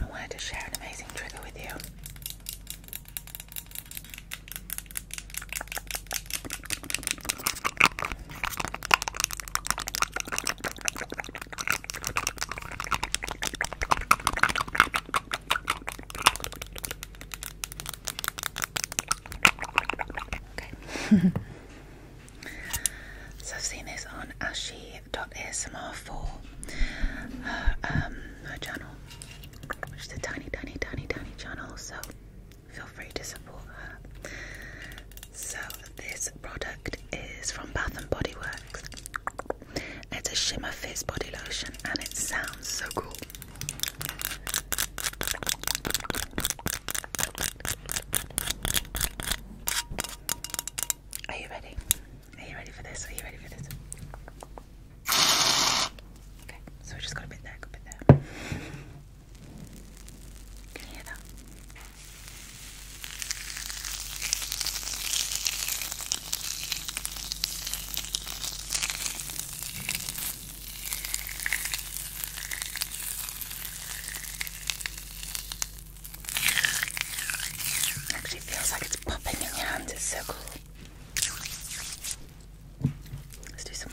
I wanted to share an amazing trigger with you. Okay. So I've seen this on ashi.asmr4, her, uh, um, her channel, which is a tiny, tiny, tiny, tiny channel, so feel free to support her. So this product is from Bath & Body Works. It's a Shimmer Fizz body lotion and it sounds so cool. Are you ready? Are you ready for this? Are you ready for this? Okay, so we just got a bit there, got a bit there. Can you hear Actually feels like it's popping in your hands, it's so cool. Let's do some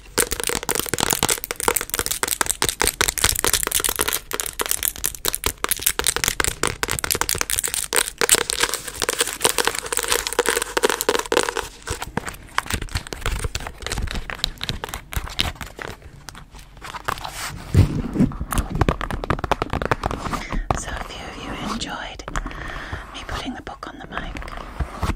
So, a few of you enjoyed me putting the book on the mic.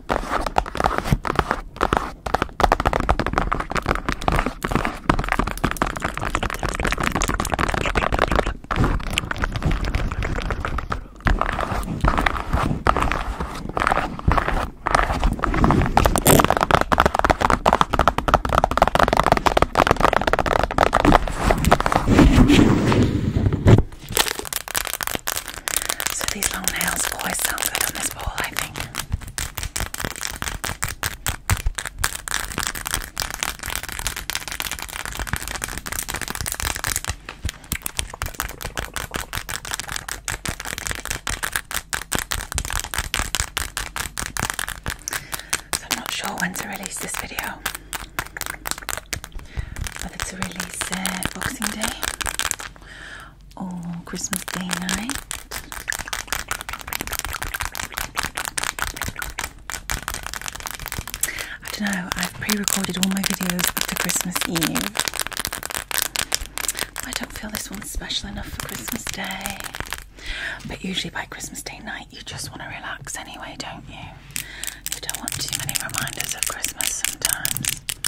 So these long nails always sound good on this ball, I think. So I'm not sure when to release this video. Whether to release uh, Boxing Day Oh, Christmas Day night. I don't know, I've pre recorded all my videos after Christmas Eve. I don't feel this one's special enough for Christmas Day. But usually by Christmas Day night, you just want to relax anyway, don't you? You don't want too many reminders of Christmas sometimes.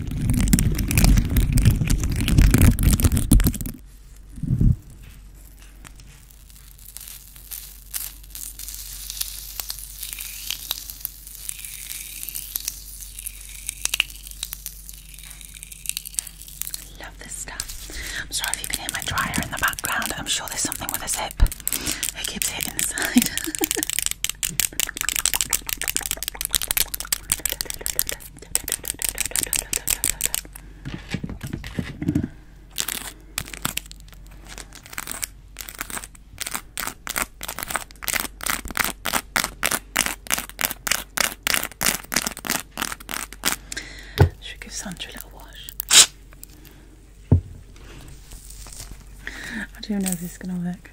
Love this stuff. I'm sorry if you can hear my dryer in the background. I'm sure there's something with a zip. It keeps hitting the side. Should give Sandra a little wash. I do not know if this is gonna work.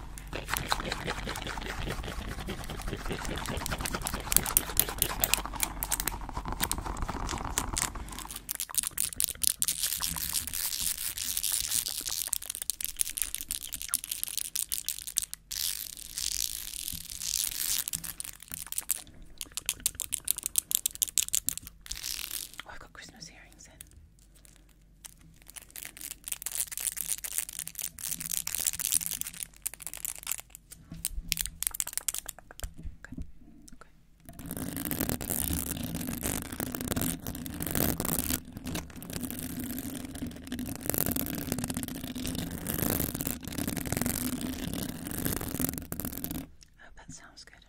Oh, I've got Christmas earrings in. I oh, hope that sounds good.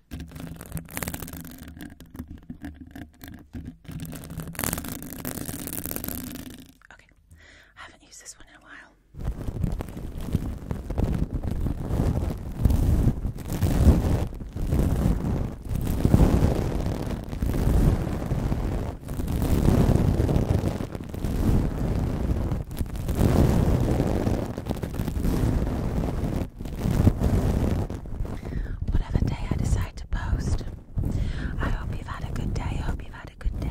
Okay, I haven't used this one in a while. Whatever day I decide to post, I hope you've had a good day. I hope you've had a good day.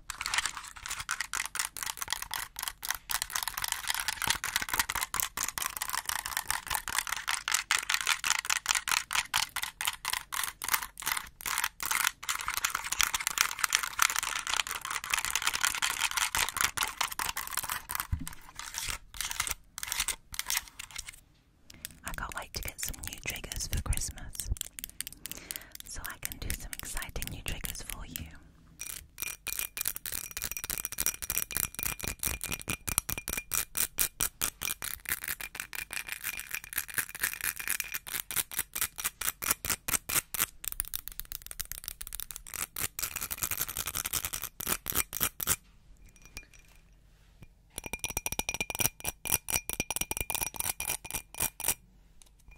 I can't wait to get some new triggers for Christmas so I can do some exciting new triggers for you.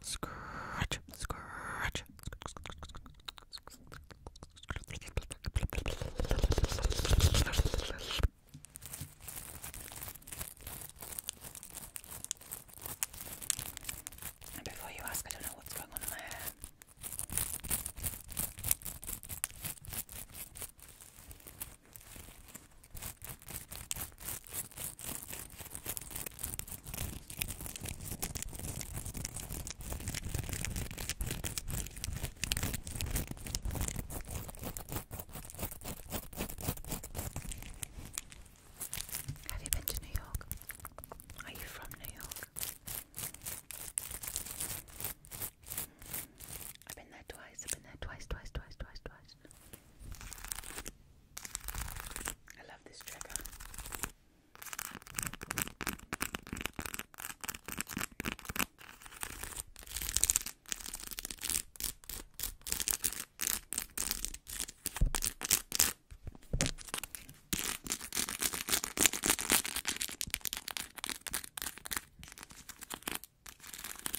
Scratch, scratch. And before you ask, I don't know what's going on in my hair. Have you been to New York? Are you from New York? I've been there twice, I've been there twice, twice, twice, twice, twice. I love this trigger.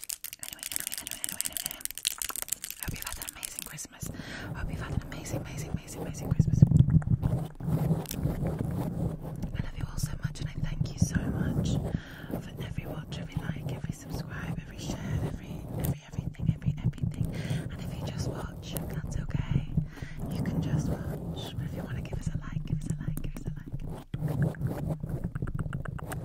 Anyway, anyway, anyway, anyway, anyway. hope you had an amazing Christmas. hope you had an amazing, amazing, amazing, amazing Christmas. I love you all so much, and I thank you so much for every watch, every like, every subscribe, every share, every, every, everything, every, everything. And if you just watch, that's okay. You can just watch. But if you want to give us a like, give us a like, give us a like.